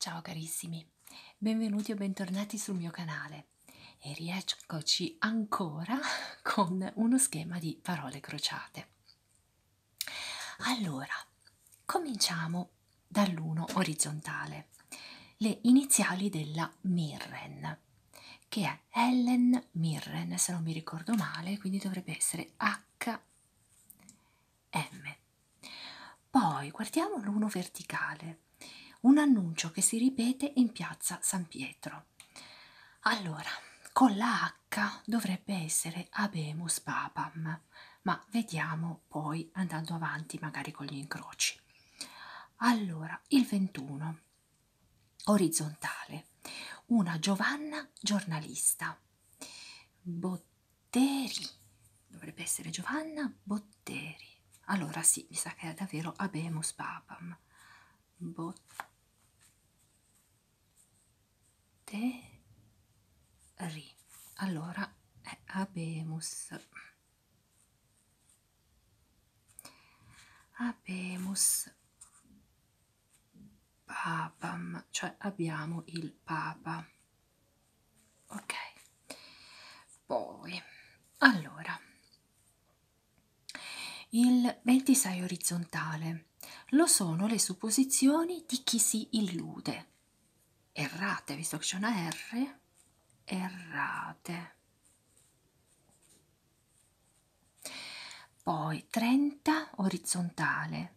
Ciao carissimi, benvenuti o bentornati sul mio canale e rieccoci ancora con uno schema di parole crociate. Allora, cominciamo dall'1 orizzontale, le iniziali della Mirren che è Helen Mirren, se non mi ricordo male, quindi dovrebbe essere HM. Poi guardiamo l'uno verticale, un annuncio che si ripete in piazza San Pietro. Allora, con la H dovrebbe essere Abemus Papam, ma vediamo poi andando avanti magari con gli incroci. Allora, il 21 orizzontale, una Giovanna giornalista. Botteri, dovrebbe essere Giovanna Botteri. Allora sì, mi sa che è davvero Abemus Papam. Botteri. Allora è Abemus Abemus papam, cioè abbiamo il papa. Ok. Poi, allora, il 26 orizzontale lo sono le supposizioni di chi si illude. Errate, visto che c'è una R, errate. Poi 30 orizzontale.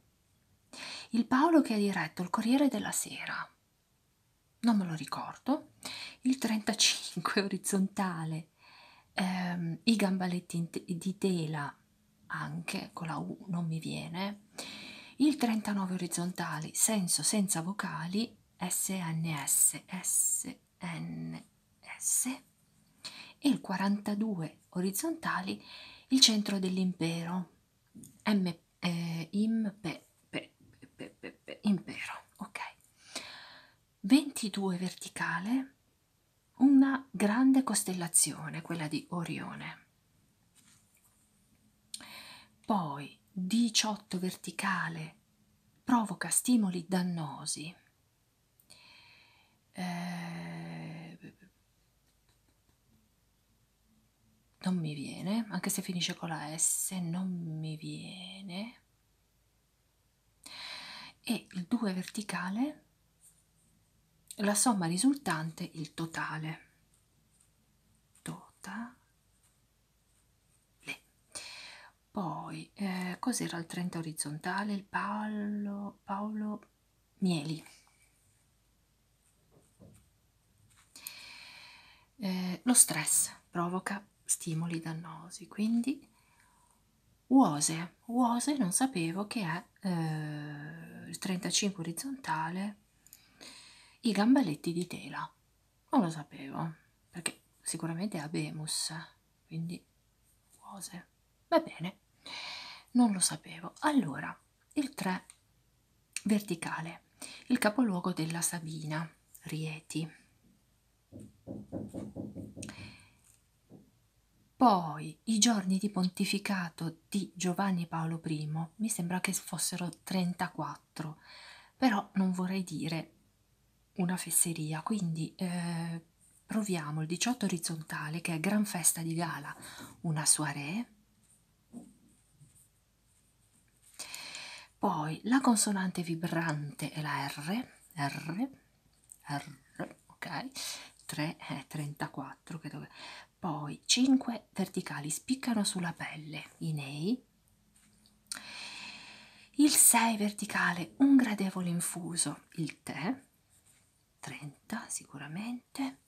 Il Paolo che ha diretto il Corriere della Sera. Non me lo ricordo. Il 35 orizzontale. Ehm, I gambaletti di tela anche con la U non mi viene. Il 39 orizzontale, senso senza vocali SNS, SNS e il 42 orizzontali il centro dell'impero, M, eh, impe, pe, pe, pe, impero, ok. 22 verticale, una grande costellazione, quella di Orione. Poi 18 verticale provoca stimoli dannosi. Eh, non mi viene, anche se finisce con la S, non mi viene. E il 2 verticale, la somma risultante, il totale. Totale. Le. Poi, eh, cos'era il 30 orizzontale? Il Paolo, Paolo Mieli. Eh, lo stress provoca stimoli dannosi, quindi uose. Uose non sapevo che è eh, il 35 orizzontale, i gambaletti di tela non lo sapevo perché sicuramente è Abemus quindi Uose va bene non lo sapevo allora il 3 verticale il capoluogo della Sabina Rieti poi i giorni di pontificato di Giovanni Paolo I mi sembra che fossero 34 però non vorrei dire una fesseria, quindi eh, proviamo il 18 orizzontale che è gran festa di gala, una soirée, poi la consonante vibrante è la R, R, R, ok, 3 è eh, 34, che dove... poi 5 verticali spiccano sulla pelle, i nei, il 6 verticale, un gradevole infuso, il tè, 30 sicuramente,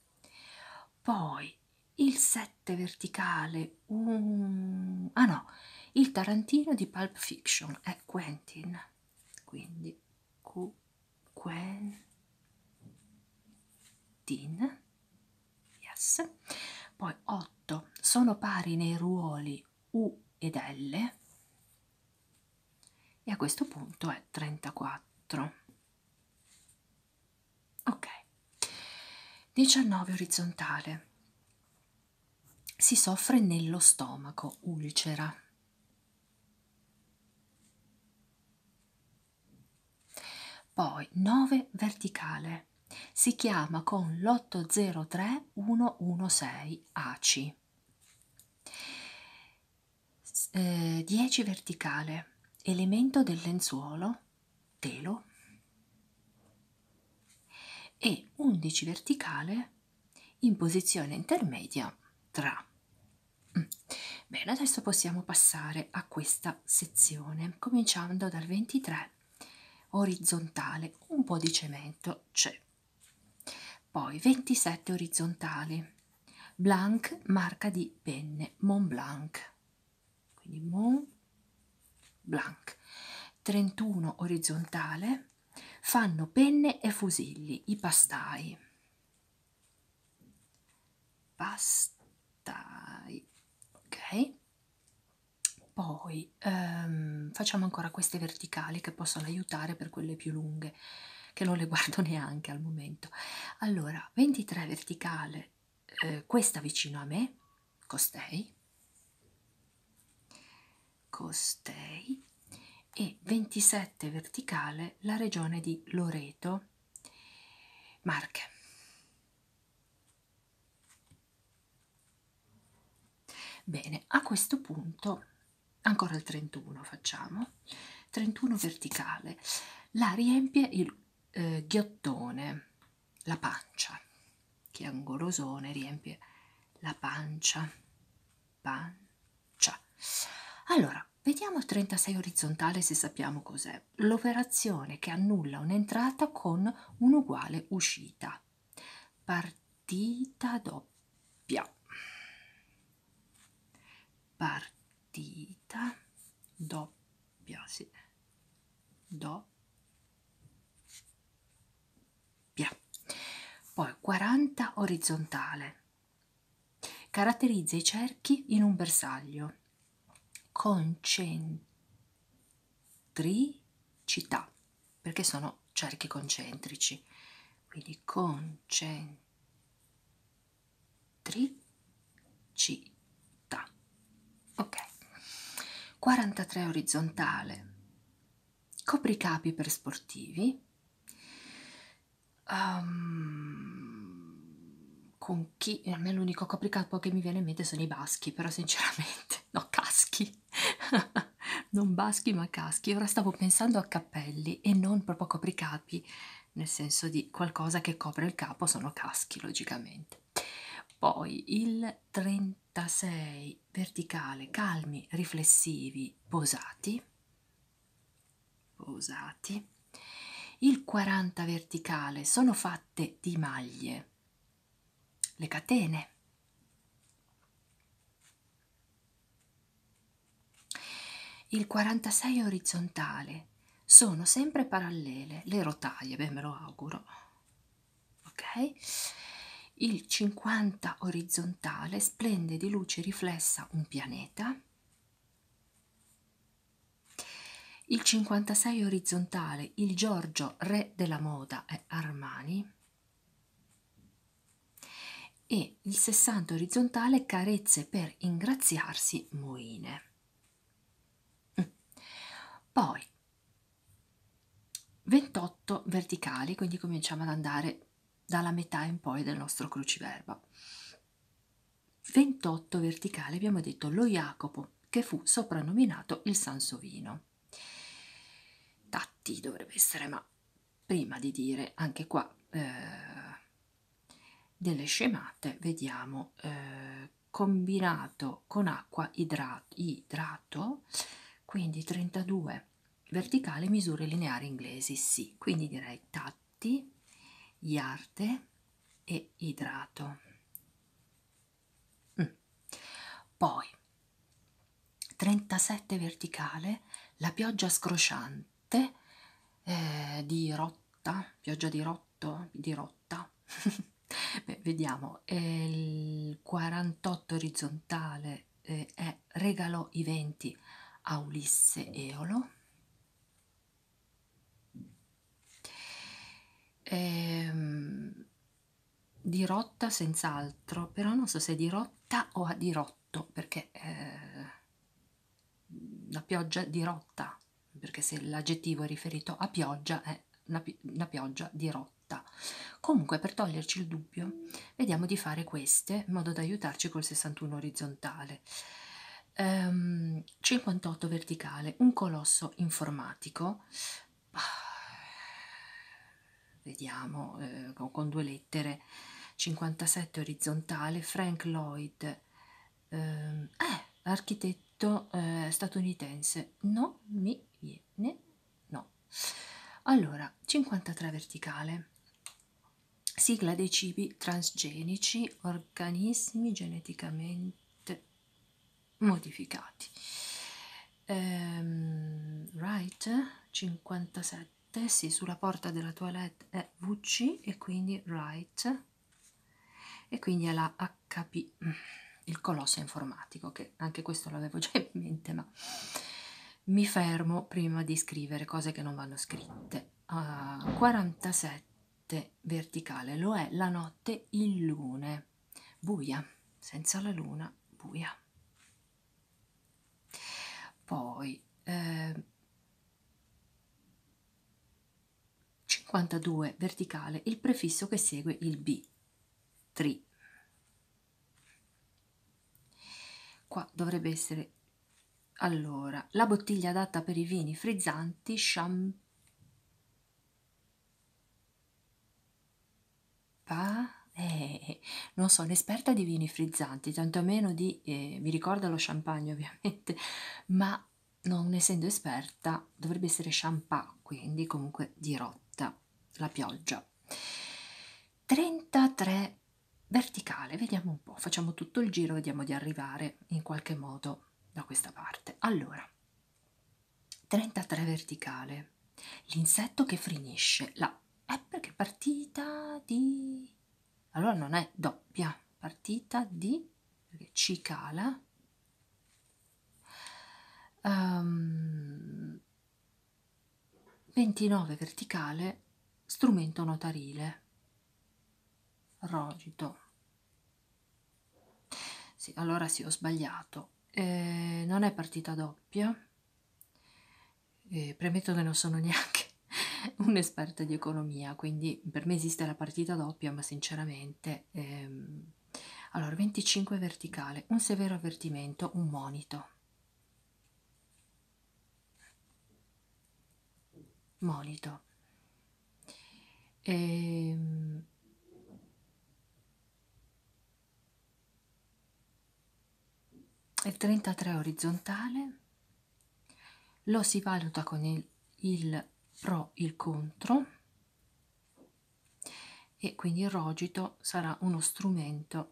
poi il 7 verticale, un... ah no, il Tarantino di Pulp Fiction è Quentin, quindi Q, Quentin, yes. Poi 8 sono pari nei ruoli U ed L e a questo punto è 34. Ok. 19 orizzontale. Si soffre nello stomaco, ulcera poi 9 verticale si chiama con l'803116 ACI 10 verticale elemento del lenzuolo telo e 11 verticale in posizione intermedia tra mm. bene adesso possiamo passare a questa sezione cominciando dal 23 orizzontale un po' di cemento c'è poi 27 orizzontali blank marca di penne Mont Blanc quindi Mont Blanc 31 orizzontale fanno penne e fusilli i pastai pastai ok poi ehm, facciamo ancora queste verticali che possono aiutare per quelle più lunghe, che non le guardo neanche al momento. Allora, 23 verticale, eh, questa vicino a me, costei, costei, e 27 verticale la regione di Loreto, Marche. Bene, a questo punto, ancora il 31 facciamo, 31 verticale, la riempie il eh, ghiottone, la pancia, che angolosone riempie la pancia, pancia. Allora, vediamo il 36 orizzontale se sappiamo cos'è cioè l'operazione che annulla un'entrata con un'uguale uscita. Partita doppia. Partita doppia, sì. Doppia. Poi 40 orizzontale. Caratterizza i cerchi in un bersaglio concentricità, perché sono cerchi concentrici. Quindi concentricità. Ok. 43 orizzontale. Copricapi per sportivi. Um, con chi a me l'unico copricapo che mi viene in mente sono i baschi però sinceramente no caschi non baschi ma caschi ora stavo pensando a cappelli e non proprio copricapi nel senso di qualcosa che copre il capo sono caschi logicamente poi il 36 verticale calmi riflessivi posati posati il 40 verticale sono fatte di maglie, le catene. Il 46 orizzontale sono sempre parallele le rotaie, beh me lo auguro. Ok? Il 50 orizzontale splende di luce riflessa un pianeta. Il 56 orizzontale, il Giorgio re della moda è Armani e il 60 orizzontale carezze per ingraziarsi Moine. Mm. Poi 28 verticali, quindi cominciamo ad andare dalla metà in poi del nostro cruciverba. 28 verticale abbiamo detto lo Jacopo che fu soprannominato il Sansovino. Tatti dovrebbe essere, ma prima di dire anche qua eh, delle scemate, vediamo eh, combinato con acqua idrato, idrato, quindi 32 verticale, misure lineari inglesi, sì, quindi direi tatti, iarte, e idrato mm. poi 37 verticale la pioggia scrosciante eh, di rotta pioggia di rotto di rotta Beh, vediamo il 48 orizzontale eh, è regalò i venti a Ulisse Eolo Ehm, dirotta senz'altro, però non so se dirotta o a dirotto, perché eh, la pioggia dirotta, perché se l'aggettivo è riferito a pioggia è una, pi una pioggia dirotta. Comunque per toglierci il dubbio vediamo di fare queste in modo da aiutarci col 61 orizzontale ehm, 58 verticale, un colosso informatico, ah, vediamo eh, con due lettere, 57 orizzontale, Frank Lloyd, ehm, eh, architetto eh, statunitense, non mi viene, no. Allora, 53 verticale, sigla dei cibi transgenici, organismi geneticamente leggermente modificati ehm, right 57 sì, sulla porta della toilette è VC e quindi right e quindi è la HP mm, il colosso informatico che anche questo l'avevo già in mente ma mi fermo prima di scrivere cose che non vanno scritte uh, ah, 47 notte verticale, lo è la notte in lune, buia, senza la luna, buia. Poi eh, 52 verticale, il prefisso che segue il B, tri. Qua dovrebbe essere allora, la bottiglia adatta per i vini frizzanti, champagne. Eh, non sono esperta di vini frizzanti, tantomeno di... Eh, mi ricorda lo champagne ovviamente, ma non essendo esperta dovrebbe essere champagne, quindi comunque dirotta la pioggia. 33 verticale, vediamo un po', facciamo tutto il giro, vediamo di arrivare in qualche modo da questa parte. Allora, 33 verticale, l'insetto che frinisce, la è perché partita di... allora non è doppia, partita di... perché ci cala. Um, ehm, 29 verticale, strumento notarile, rogito, sì, allora sì, ho sbagliato. Eh, non è partita doppia. Eh, premetto che non sono neanche un'esperta di economia, quindi per me esiste la partita doppia, ma sinceramente... Ehm... Allora, 25 verticale, un severo avvertimento, un monito. Molito. Ehm... Il 33 orizzontale lo si valuta con il, il pro il contro e quindi il rogito sarà uno strumento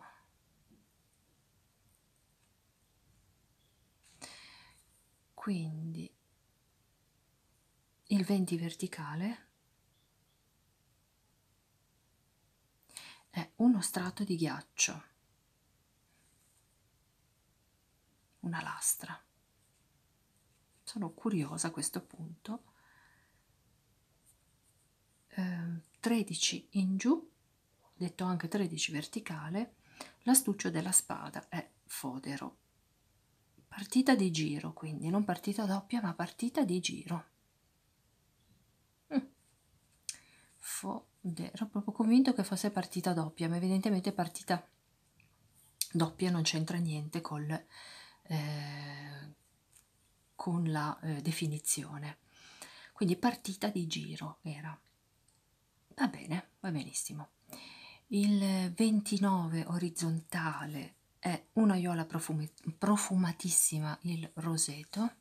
quindi il 20 verticale è uno strato di ghiaccio una lastra sono curiosa a questo punto eh, 13 in giù detto anche 13 verticale l'astuccio della spada è Fodero. Partita di giro, quindi non partita doppia, ma partita di giro. Mm. Fodero, ero proprio convinto che fosse partita doppia, ma evidentemente partita doppia non c'entra niente col, eh, con la eh, definizione. Quindi partita di giro era. Va bene, va benissimo. Il 29 orizzontale è un'aiola profum profumatissima, il roseto.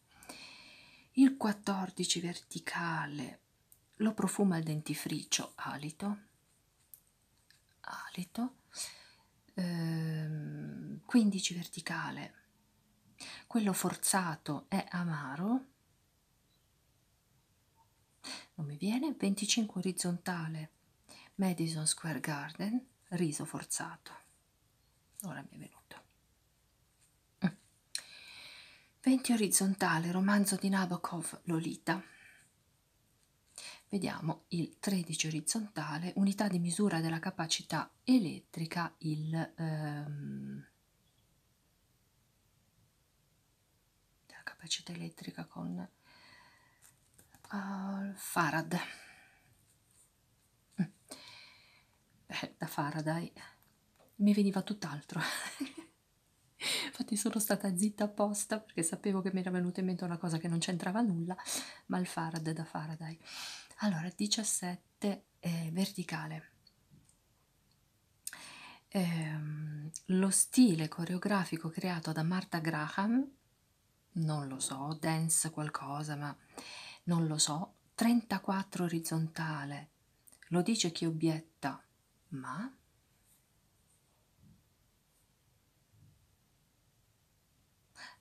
Il 14 verticale lo profuma il dentifricio, alito. Alito. Ehm, 15 verticale. Quello forzato è amaro non mi viene 25 orizzontale Madison Square Garden riso forzato ora mi è venuto 20 mm. orizzontale romanzo di Nabokov Lolita vediamo il 13 orizzontale unità di misura della capacità elettrica il ehm, della capacità elettrica con uh, Farad mm. Beh, da Faraday mi veniva tutt'altro infatti sono stata zitta apposta perché sapevo che mi era venuta in mente una cosa che non c'entrava nulla ma il Farad da Faraday allora 17 eh, verticale ehm, lo stile coreografico creato da Martha Graham, non lo so, dance qualcosa, ma non lo so, 34 orizzontale, lo dice chi obietta, ma...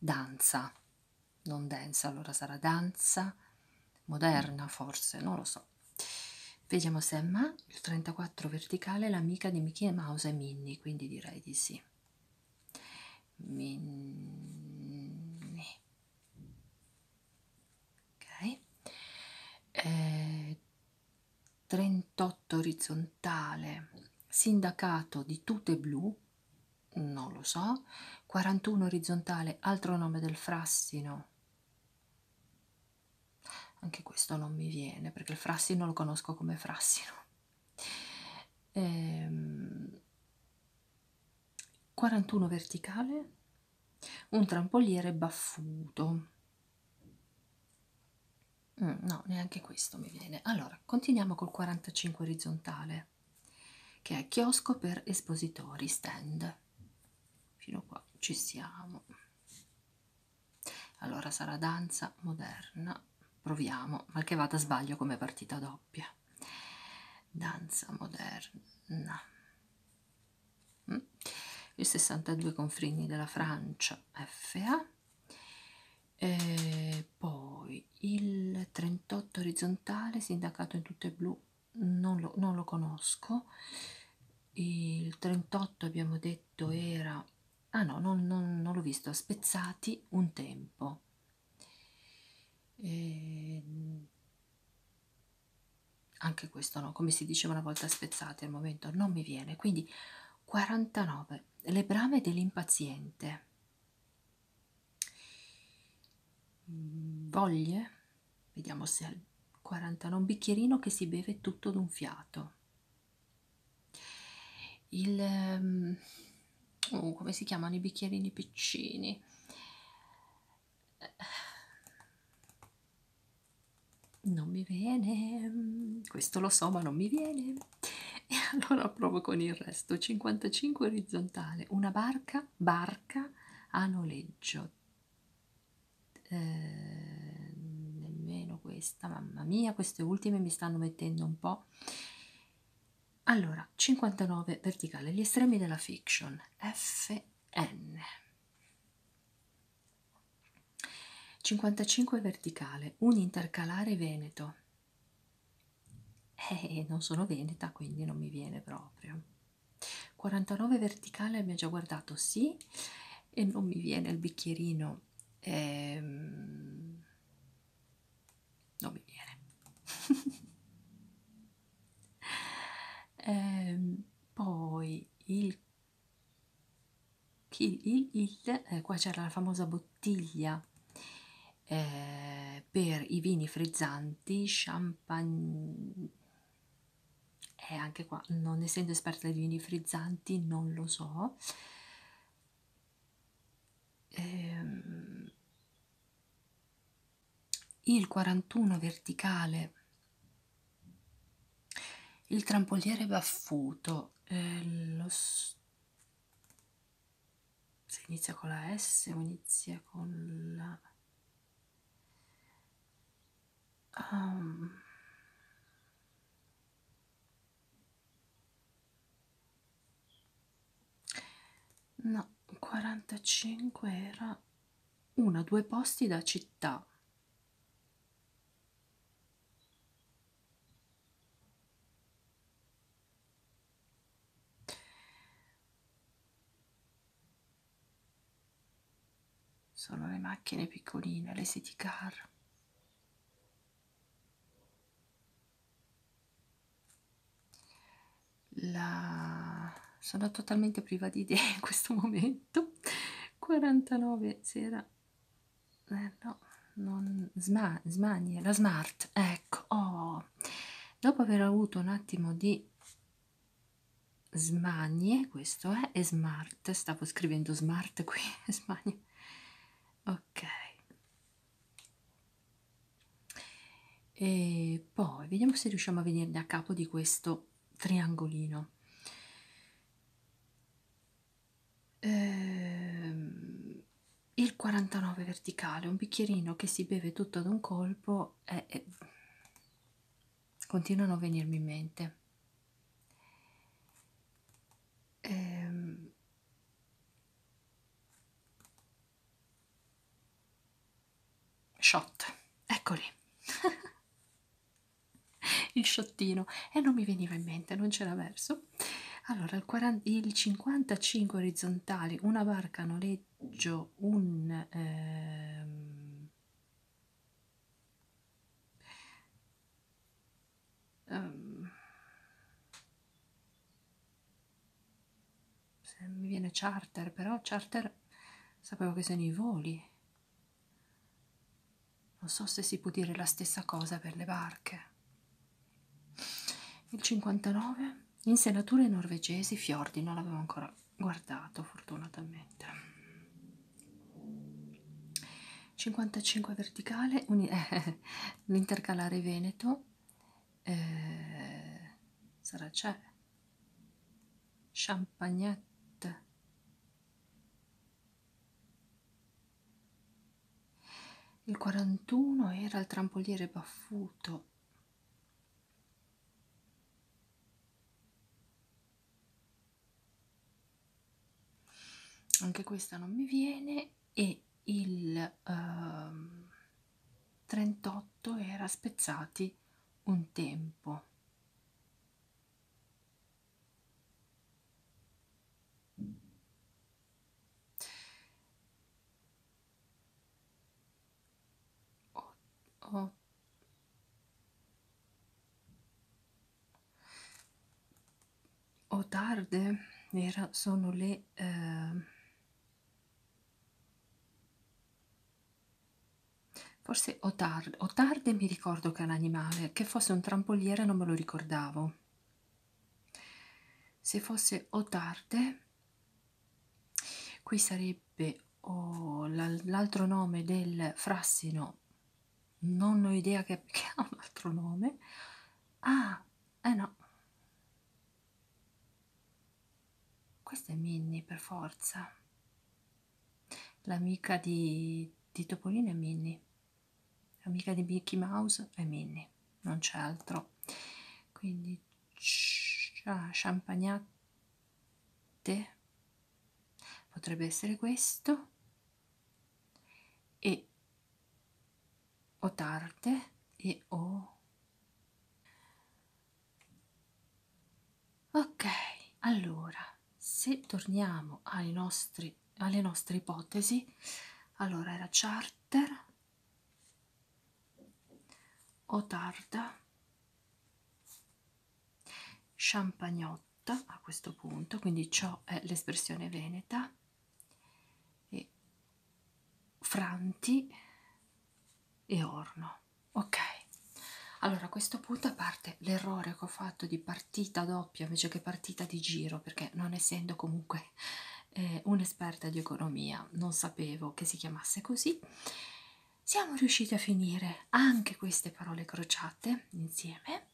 Danza, non danza, allora sarà danza moderna forse, non lo so basso. Vediamo se è ma il 34 verticale è l'amica di Mickey Mouse e Minnie, quindi direi di sì. Minnie. Ok. Eh, 38 orizzontale, sindacato di tute blu, non lo so. 41 orizzontale, altro nome del frassino, anche questo non mi viene perché il frassino lo conosco come frassino. Ehm, 41 verticale, un trampoliere baffuto. Mm, no, neanche questo mi viene. Allora, continuiamo col 45 orizzontale che è chiosco per espositori stand fino a qua ci siamo allora sarà danza moderna proviamo mal che vada sbaglio come partita doppia danza moderna mm. il 62 confini della Francia FA e poi il 38 orizzontale sindacato in tutte e blu non lo, non lo conosco il 38 abbiamo detto era ah no non, non, non l'ho visto a spezzati un tempo e... anche questo no come si diceva una volta spezzati al momento non mi viene quindi 49 le brame dell'impaziente voglie Vediamo se al 49 un bicchierino che si beve tutto d'un fiato. Il ehm, oh, come si chiamano i bicchierini piccini? Non mi viene, questo lo so, ma non mi viene. E allora provo con il resto. 55 orizzontale, una barca, barca a noleggio, eh, nemmeno questa mamma mia queste ultime mi stanno mettendo un po' allora 59 verticale gli estremi della fiction fn 55 verticale un intercalare veneto eh, non sono veneta quindi non mi viene proprio 49 verticale mi ha già guardato sì e non mi viene il bicchierino ehm... non mi viene ehm, poi il il, il, il eh, qua c'era la famosa bottiglia eh, per i vini frizzanti champagne e eh, anche qua non essendo esperta dei vini frizzanti non lo so ehm, il 41 verticale il trampoliere baffuto eh, lo s se inizia con la S o inizia con la Um, no, 45 era una, due posti da città. Sono le macchine piccoline, le city car. La... Sono totalmente priva di idee in questo momento. 49 sera. Eh, no, non... Sma, smanie, la smart. Ecco, oh. Dopo aver avuto un attimo di smanie, questo è, e smart, stavo scrivendo smart qui, smanie, ok, e poi vediamo se riusciamo a venirne a capo di questo triangolino, ehm, il 49 verticale, un bicchierino che si beve tutto ad un colpo loro eh, eh, continuano a venirmi in mente. Ehm, shot, eccoli. il sciottino e eh, non mi veniva in mente, non c'era verso. Allora, il, 40, il 55 orizzontali, una barca noleggiata noleggio, un ehm, ehm, se mi viene charter, però charter sapevo che sono i voli. Non so se si può dire la stessa cosa per le barche. Il 59 Insenature norvegesi, fiordi, non l'avevo ancora guardato fortunatamente. 55 verticale, l'intercalare eh, veneto, eh, sarà c'è, champagnette, il 41 era il trampoliere baffuto, anche questa non mi viene e il uh, ehm, 38 era spezzati un tempo 8, 8 o tarde era, sono le eh, forse o tarde, o tarde mi ricordo che è un animale che fosse un trampoliere non me lo ricordavo se fosse o tarde Qui sarebbe oh, l'altro nome del frassino, non ho idea che, che ha un altro nome. Ah, eh no. Questa è Minnie per forza. L'amica di, di Topolino è Minnie. L'amica di Mickey Mouse è Minnie, non c'è altro. Quindi Ah, champagnate potrebbe essere questo e o tarte e o ok allora se torniamo ai nostri alle nostre ipotesi allora era charter o tarda champagnotta a questo punto quindi ciò è l'espressione veneta e franti e orno ok allora a questo punto parte l'errore che ho fatto di partita doppia invece che partita di giro perché non essendo comunque eh, un'esperta di economia, non sapevo che si chiamasse così. Siamo riusciti a finire anche queste parole crociate insieme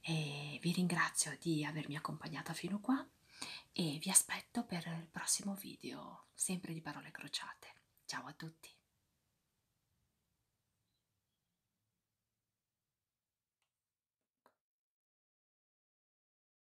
e vi ringrazio di avermi accompagnata fino qua e vi aspetto per il prossimo video sempre di parole crociate. Ciao a tutti!